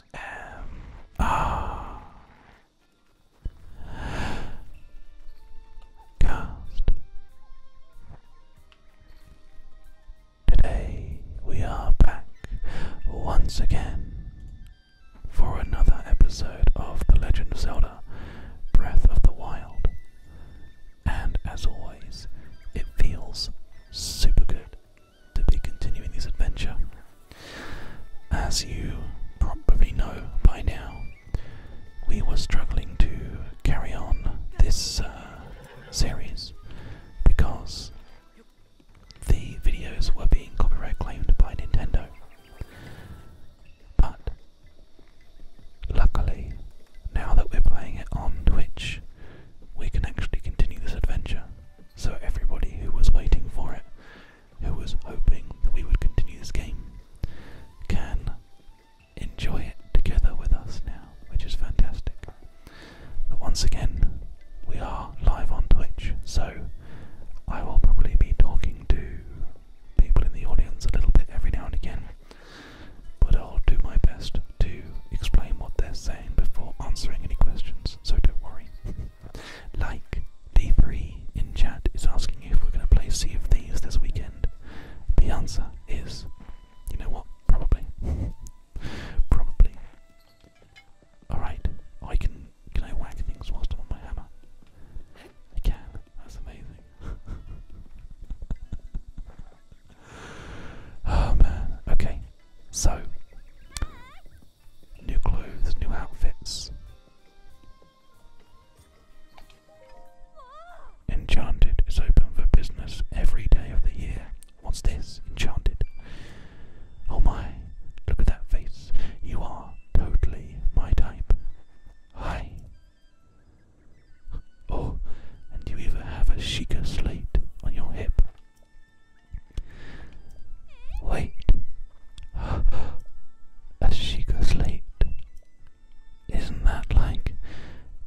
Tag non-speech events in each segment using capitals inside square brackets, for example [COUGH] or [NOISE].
S M R Cast. Today we are back once again for another episode of The Legend of Zelda Breath of the Wild. And as always, it feels super good to be continuing this adventure. As you probably know by now, we were struggling to carry on this uh, series because the videos were being copyright claimed by Nintendo. But luckily, now that we're playing it on Twitch, we can actually continue this adventure so everybody who was waiting for it, who was hoping that we would continue this game, can enjoy it together with us now, which is fantastic. But once again, we are live on Twitch, so I will probably be talking to people in the audience a little bit every now and again, but I'll do my best to explain what they're saying before answering any questions, so don't worry. [LAUGHS] Like D3 in chat is asking if we're going to play C of these this weekend. The answer is, you know what? Probably. [LAUGHS] Probably. Alright, I can. Can I whack things whilst I'm on my hammer? I can. That's amazing. [LAUGHS] oh man. Okay. So, new clothes, new outfits. Enchanted is open for business every day of the year. What's this? Enchanted. Oh my, look at that face. You are totally my type. Hi. Oh, and you even have a chica slate on your hip. Wait, [GASPS] as she goes late. Isn't that like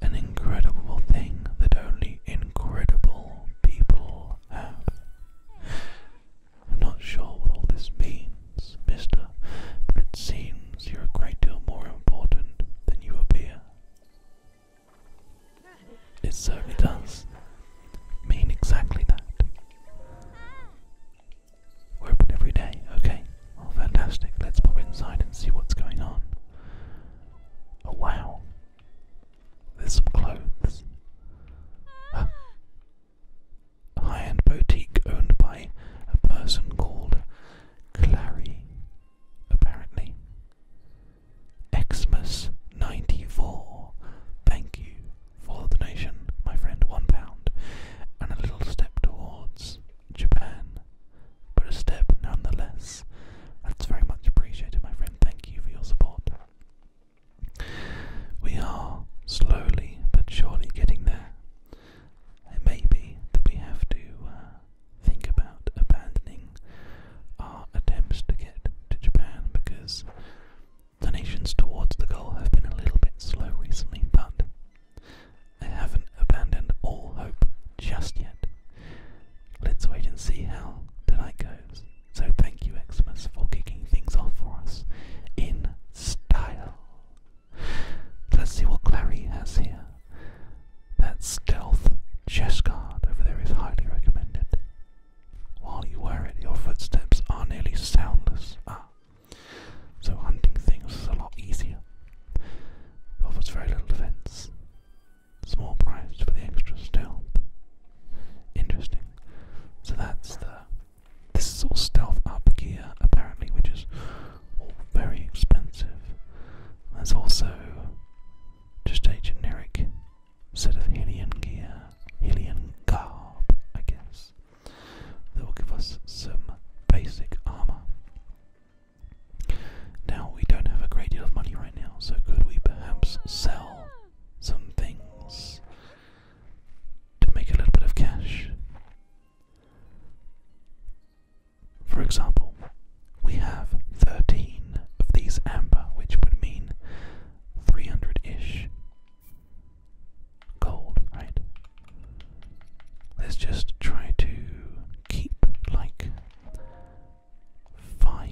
an incredible thing that only incredible people have? I'm not sure what all this means, mister, but it seems you're a great deal more important than you appear. It certainly does mean exactly that. open every day, okay? Oh, fantastic. Let's pop inside and see what's going on. Oh, wow. There's some clothes. A high end boutique owned by a person called Clary, apparently. Xmas 94. Thank you for the donation, my friend. One pound. And a little step towards Japan. But a step nonetheless. That's very much appreciated, my friend. Thank you for your support. We are slowly but surely getting there. It may be that we have to uh, think about abandoning our attempts to get to Japan because Donations towards the goal have been a little bit slow recently, but I haven't abandoned all hope just yet. Let's wait and see how the night goes. So thank you, Xmas, for kicking things off for us in style. Let's see what Clary has here. That stealth chess guard over there is highly recommended. While you wear it, your footsteps are nearly soundless. Ah, so hunting things is a lot easier. offers very little defense. Small price for the extra stealth. Interesting. So that's the. This is all stealth up gear apparently, which is all very expensive. There's also just a generic set of Helion gear, Helion garb, I guess, that will give us some basic armor. Now, we don't have a great deal of money right now, so could we perhaps sell some things to make a little bit of cash? For example, we have 13 of these amber, which would mean 300-ish gold, right? Let's just try to keep like five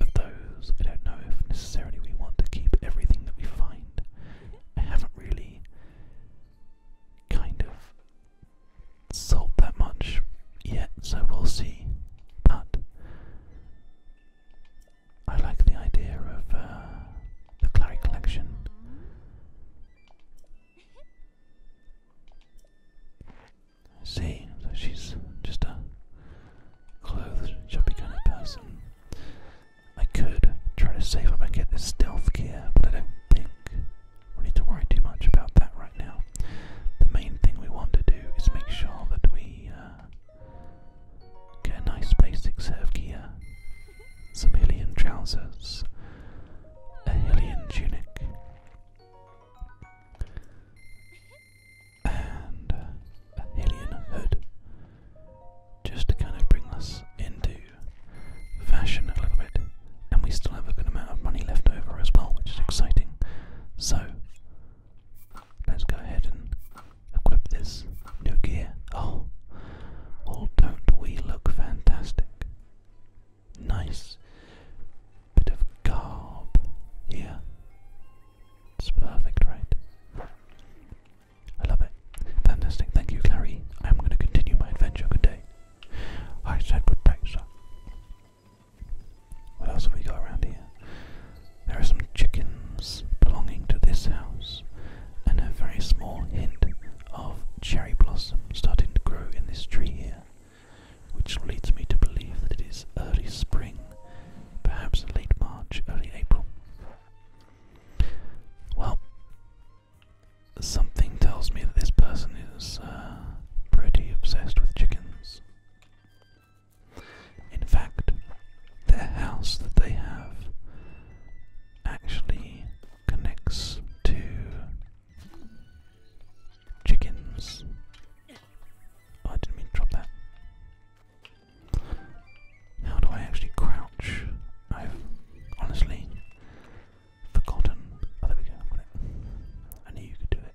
of those. I don't know if necessarily we want to keep everything that we find. I haven't really kind of sold that much yet, so we'll see. But I like the idea of uh, the Clary collection. See, she's just a clothed, chubby kind of person. I could try to save up and get this stealth gear, but I don't think we need to worry too much about that now. The main thing we want to do is make sure that we uh, get a nice basic set gear. Some Hylian trousers, a Hylian tunic, and uh, a Hylian hood, just to kind of bring us into fashion a little bit. And we still have a good amount of money left over as well, which is exciting. So, Let's go ahead and equip this new gear. Oh, well, don't we look fantastic? Nice bit of garb here. It's perfect, right? I love it. Fantastic. Thank you, Clary. I'm going to continue my adventure. Good day. I said good sir. What else we got around here? There are some chickens belonging to this house, and a very small hint of cherry blossom starting to grow in this tree here, which leads me to believe that it is early spring, perhaps late March, early April. Well, something tells me that this person is uh, pretty obsessed with chickens. In fact, their house that they have actually connects to chickens. Oh, I didn't mean to drop that. How do I actually crouch? I've honestly forgotten. Oh, there we go. I knew you could do it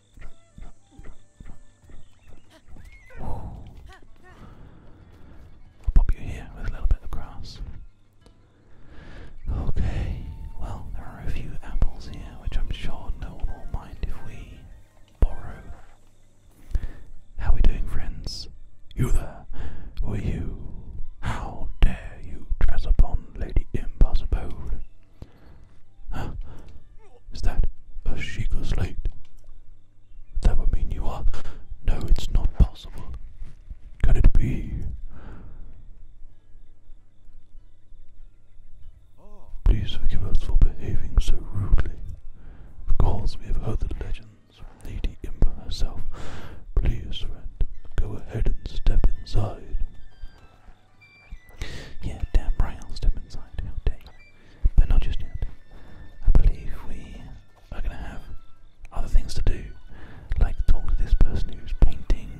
I'll pop you here with a little bit of grass. Okay, well, there are a few apples here, which I'm sure no one will mind if we borrow. How are we doing, friends? You there? Were you? How dare you trespass upon Lady Impossible? Is that a Sheikah slate? That would mean you are. No, it's not possible. Can it be? Please forgive us for behaving so rudely. Of course, we have heard the legends from Lady Imba herself. Please, friend, go ahead and step inside. Yeah, damn right, I'll step inside. How dare you? But not just yet. I believe we are going to have other things to do, like talk to this person who's painting.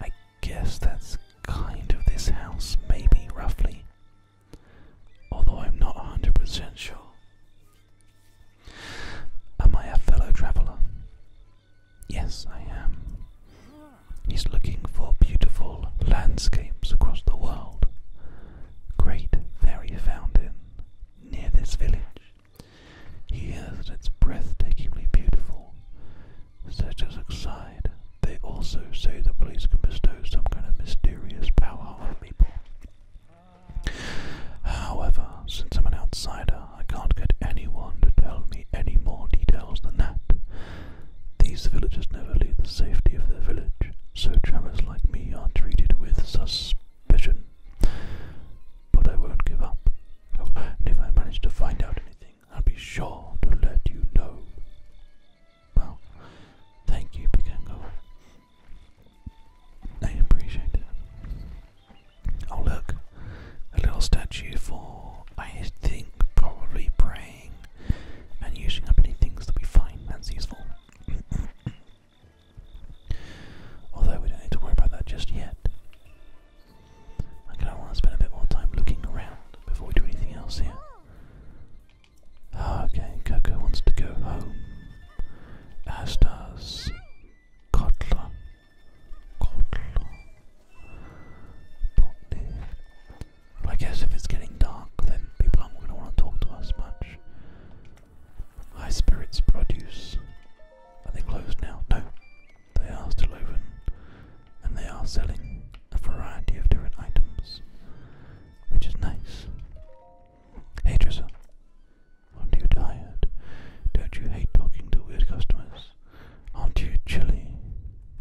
I guess that's kind of this house, maybe, roughly. Although I'm not 100% sure. Am I a fellow traveller? Yes, I am. He's looking for beautiful landscapes across the world. Great fairy fountain near this village. He hears it's breathtakingly beautiful. Searchers outside, they also say the police can bestow some kind of mysterious power on people. However, since I'm an outsider, I can't get anyone to tell me any more details than that. These villagers never leave the safety of their village, so travellers like me are treated with suspicion. But I won't give up, oh, and if I manage to find out anything, I'll be sure to let you know. Well, thank you, Pikango. I appreciate it. Oh, look, a little statue for, I think, probably praying and using up any things that we find that's useful. [COUGHS] Although we don't need to worry about that just yet. I kind of want to spend a bit more time looking around before we do anything else here. Ah, okay, Coco wants to go home. As does Kotla. Kotla. I guess if it's getting dark, then people aren't going to want to talk to us much. High Spirits Produce. Are they closed now? No. They are still open. And they are selling a variety of different items, which is nice. Hey, Dresser. Aren't you tired? Don't you hate talking to weird customers? Aren't you chilly?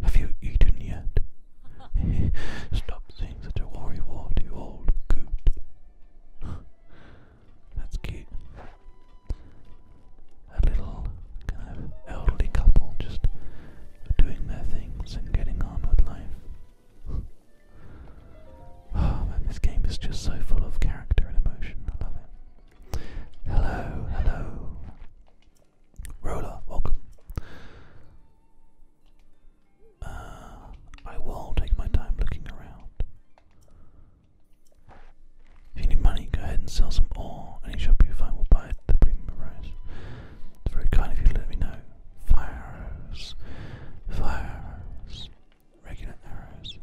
Have you eaten yet? [LAUGHS] Stop saying such a worrywart, you old coot. That's cute. A little elderly couple just doing their things and getting on with life. [SIGHS] Oh this game is just so full of character and emotion. I love it. Hello, hello. Roller, welcome. Uh, I will take my time looking around. If you need money, go ahead and sell some ore. Any shop you find will buy the premium price. It's very kind of you let me know. Fire arrows. Fire arrows. Regular arrows.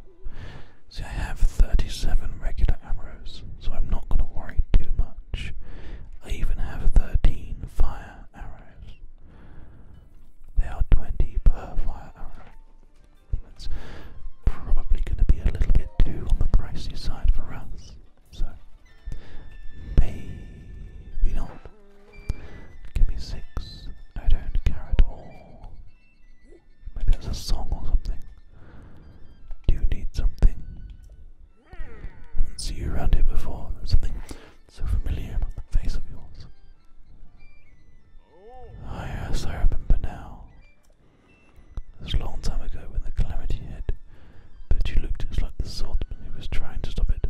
See, I have 37 regular arrows, so I'm not going to worry too much. I even have 13 fire arrows. They are 20 per fire arrow. that's probably going to be a little bit too on the pricey side for us. So, maybe not. Give me six. I don't care at all. Maybe that's a song or something. Do you need something? I didn't see you around here before. something so familiar about the face of yours. Oh. oh, yes, I remember now. It was a long time ago when the calamity hit, but you looked just like the swordsman who was trying to stop it.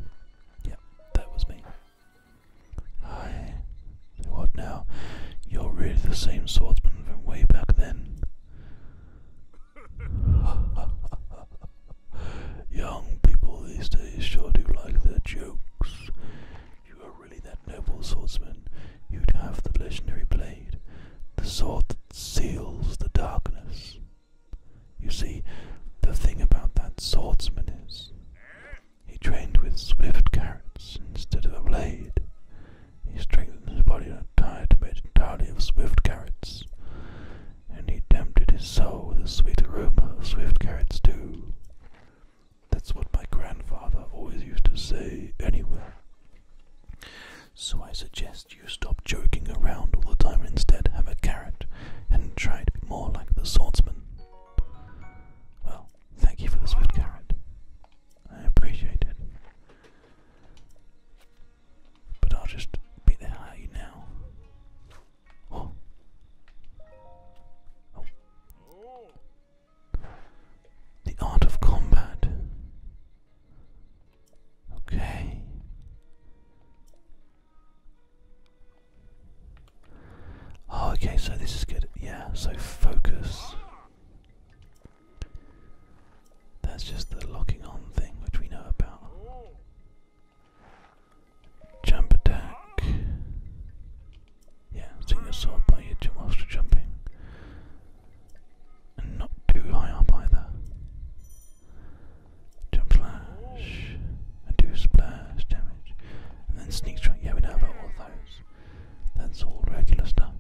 Yep, that was me. Aye. What now? You're really the same swordsman from way back then. [LAUGHS] Young people these days sure do like their jokes. you were really that noble swordsman, you'd have the legendary blade, the sword that seals the darkness. You see, the thing about that swordsman is he trained with swift carrots instead of a blade. He strengthened his body in a diet made entirely of swift carrots, and he tempted his soul with the sweet aroma of swift carrots too. That's what my grandfather always used to say, anyway. So I suggest you stop joking around all the time and instead have a carrot and try to be more like the swordsman. Well, thank you for the swift carrot. I appreciate it. But I'll just be there hell you now. Oh. Oh. The art of combat. Okay. Oh, okay, so this is good. Yeah, so focus. That's just the locking on thing which we know about. Jump attack. Yeah, sink your sword by your jump whilst you're jumping. And not too high up either. Jump slash. And do splash damage. And then sneak strike. Yeah, we know about all those. That's all regular stuff.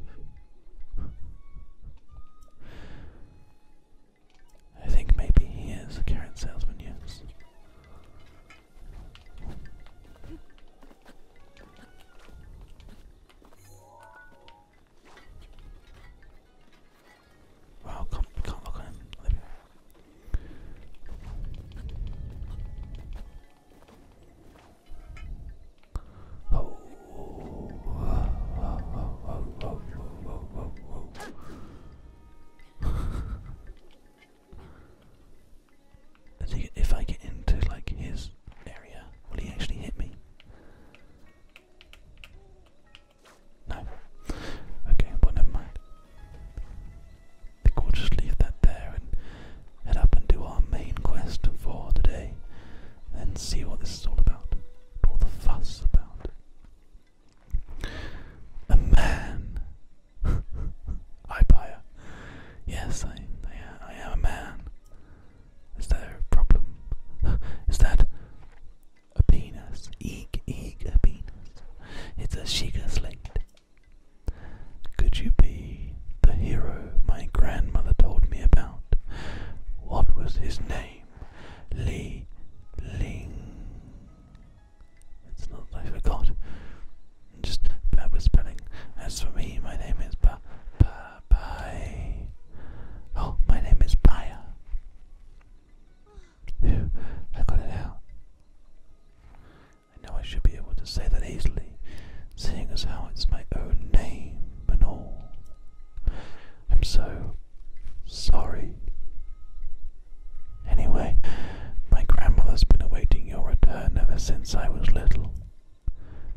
I think maybe he is a current salesman, yes. Wow, can't, look at him if I get into like his area, will he actually hit me? No. Okay, well I think we'll just leave that there and head up and do our main quest for today and see what this is all about all the fuss about. A man. [LAUGHS] I buy a. Yes, I, I, am a man. Is there a problem? [GASPS] Is that a penis? Eek, eek, a penis. It's a Shiga slate. Could you be the hero my grandmother told me about? What was his name? name. Li Ling. It's not I forgot. Just bad with spelling. As for me, my name is Ba Ba Bai. Oh, my name is Baya. I got it out. I know I should be able to say that easily, seeing as how it's my own name and all. I'm so sorry. Anyway, my grandmother's been awaiting your return ever since I was little.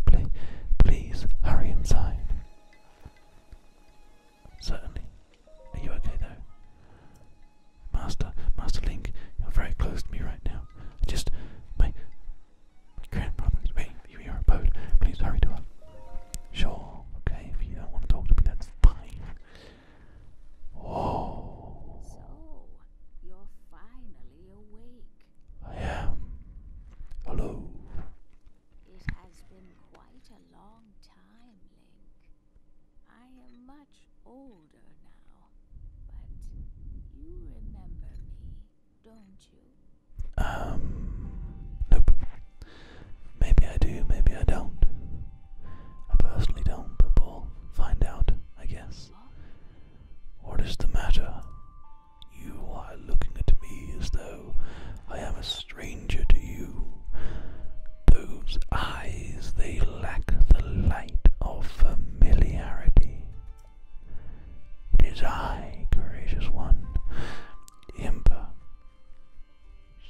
Please, please hurry inside. Certainly. Are you okay though? Master, Master Link, you're very close to me right now. just, my, Grandfather's wait, you hear a Please hurry to us. Sure, okay, if you don't want to talk to me, that's fine. Whoa. So, you're finally awake. I am. Hello. It has been quite a long time, Link. I am much older now, but you remember don't you? Um, nope. Maybe I do, maybe I don't. I personally don't, but find out, I guess. What is the matter? You are looking at me as though I am a stranger to you. Those eyes, they lack the light of familiarity. It is I, courageous one, Impa,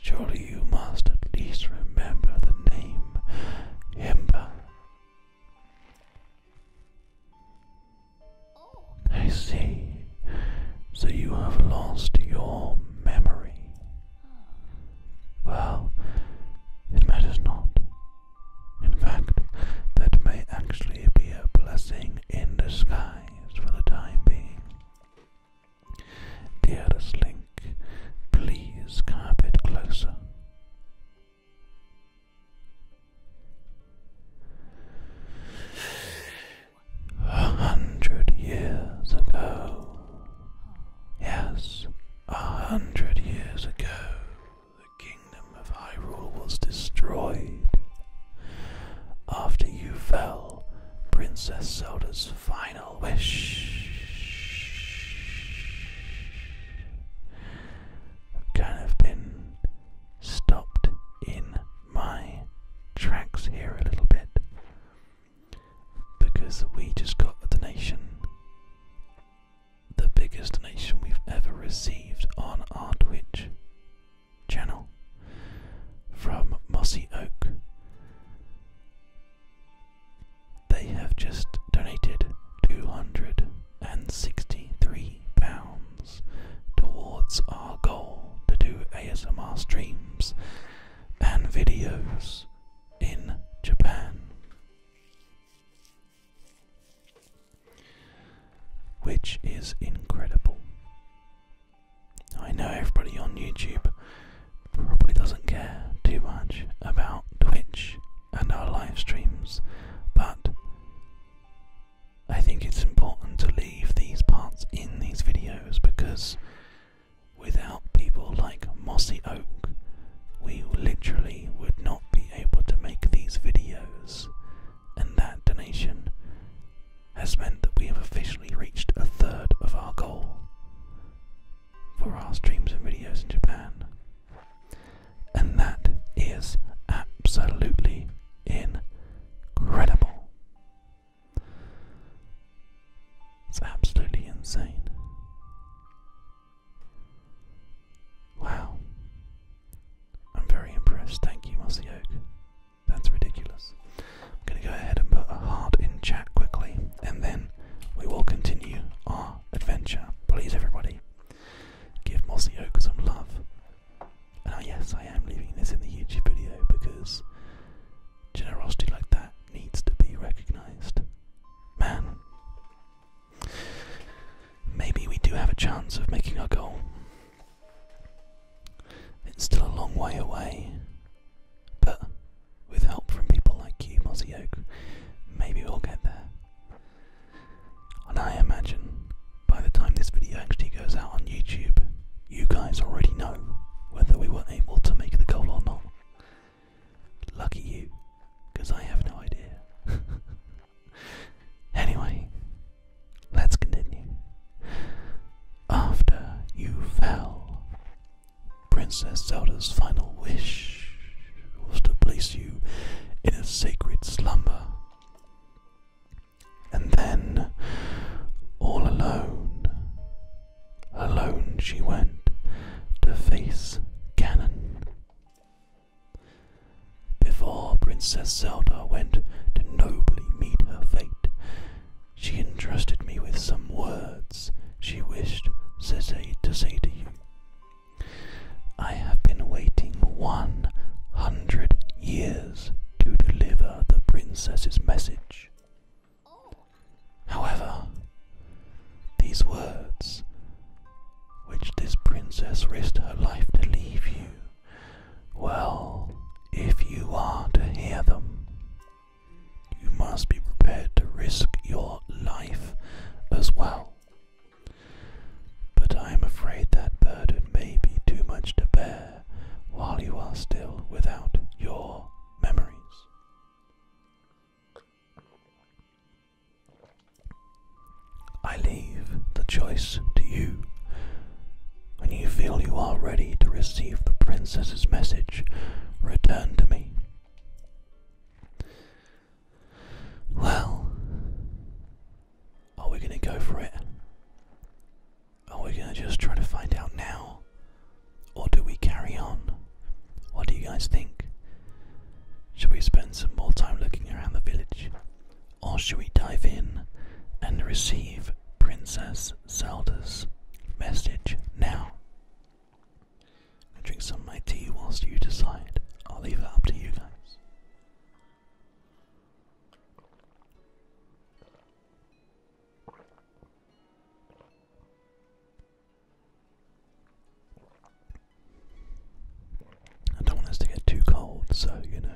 surely you must at least remember the name Impa. Oh. I see. So you have lost your memory. Oh. Well, it matters not. In fact, that may actually be a blessing in disguise for the time being. Dearest Link, please come closer. A hundred years ago. Yes, a hundred years ago, the kingdom of Hyrule was destroyed after you fell, Princess Zelda's final wish. have kind of been stopped in my tracks here a little bit because we just got a donation. The biggest donation we've ever received on our channel from Mossy Oak. They have just donated £263 towards our goal to do ASMR streams and videos in Japan. Which is incredible. I know everybody on YouTube probably doesn't care too much about Twitch and our live streams, but I think it's important to leave these parts in these videos because without people like Mossy Oak, we literally would not be able to make these videos, and that donation has meant that we have officially reached a third of our goal for our streams and videos in Japan. And that is absolutely incredible. It's absolutely insane. Wow. I'm very impressed. Thank you, Mossy Oak. That's ridiculous. I'm going to go ahead and put a heart in chat quickly, and then we will continue our adventure. Please, everybody, give Mossy Oak some love. And uh, yes, I am leaving this in the YouTube video because generosity like that needs to be recognized. Man, maybe we do have a chance of making our goal. It's still a long way away, but with help from people like you, Mossy Oak, maybe we'll get there. And I imagine by the time this video actually goes out on YouTube, you guys already know whether we were able to make the goal or not. Lucky you, because I have no idea. [LAUGHS] anyway, Let's continue. After you fell, Princess Zelda's final wish was to place you in a sacred slumber. And then, all alone, alone she went to face Ganon. Before Princess Zelda went to noble meet her fate. She entrusted me with some words she wished Sese to say to you. I have been waiting one hundred years to deliver the princess's message. However, these words, which this princess risked her life to leave you, well, if you are to hear them, you must be prepared to risk your life as well. But I am afraid that burden may be too much to bear while you are still without your memories. I leave the choice to you when you feel you are ready to receive the princess's message, return to me. Well, are we going to go for it? Are we going to just try to find out now? Or do we carry on? What do you guys think? Should we spend some more time looking around the village? Or should we dive in and receive Princess Zelda's message now. I drink some of my tea whilst you decide. I'll leave it up to you guys. I don't want us to get too cold, so you know,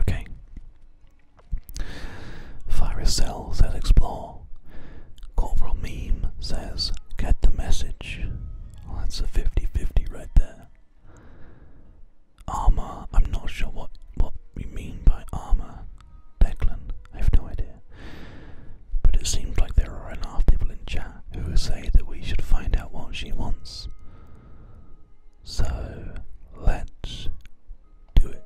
okay. Virus Cell says explore. Corporal Meme says get the message. Oh, that's a 50 50 right there. Armor, I'm not sure what what you mean by armor, Declan. I have no idea. But it seems like there are enough people in chat who say that we should find out what she wants. So let's do it.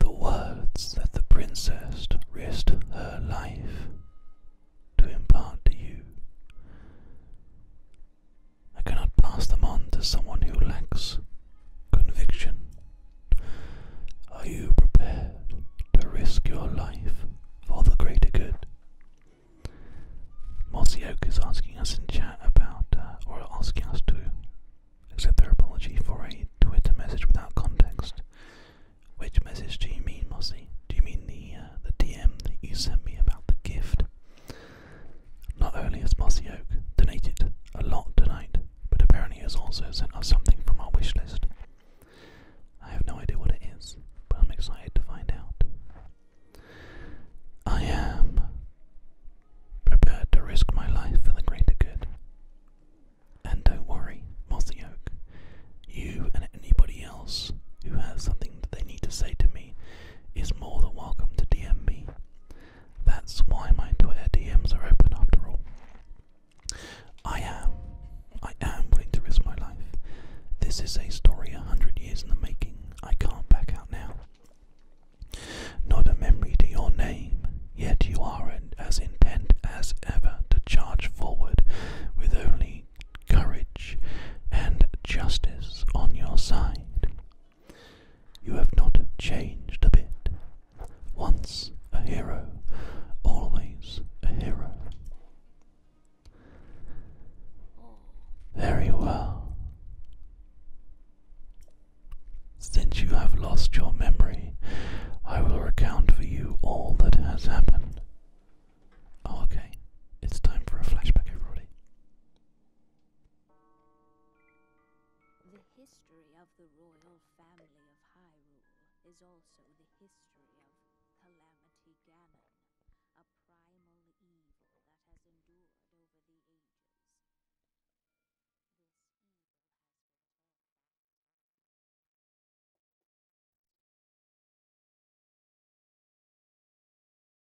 The words that the princess risked her life to impart to you I cannot pass them on to someone who lacks conviction. Are you prepared to risk your life for the greater good? Mossy Oak is asking us in chat about, uh, or asking us to accept their apology for a Twitter message without context. Which message do you mean, Mossy? Do you mean the uh, the DM that you sent me about the gift? Not only has Mossy Oak donated a lot tonight, but apparently has also sent us something from our wish list. I have no idea what it is, but I'm excited to find out. I am prepared to risk my life for the greater good. And don't worry, Mossy Oak, you and anybody else who has something that they need to say to me is more than welcome to DM me. That's why my Twitter DMs are open after all. I am, I am willing to risk my life. This is a story a hundred years in the making. I can't back out now. Not a memory to your name, yet you are as intent as ever to charge forward with only courage and justice on your side. You have not changed a bit. Once a hero, always a hero. Very well. Since you have lost your memory, I will recount for you all that has happened. okay. It's time for a flashback, everybody. The history of the royal family of Hyrule is also the history of Calamity Ganon, a primal evil that has endured over the ages. This evil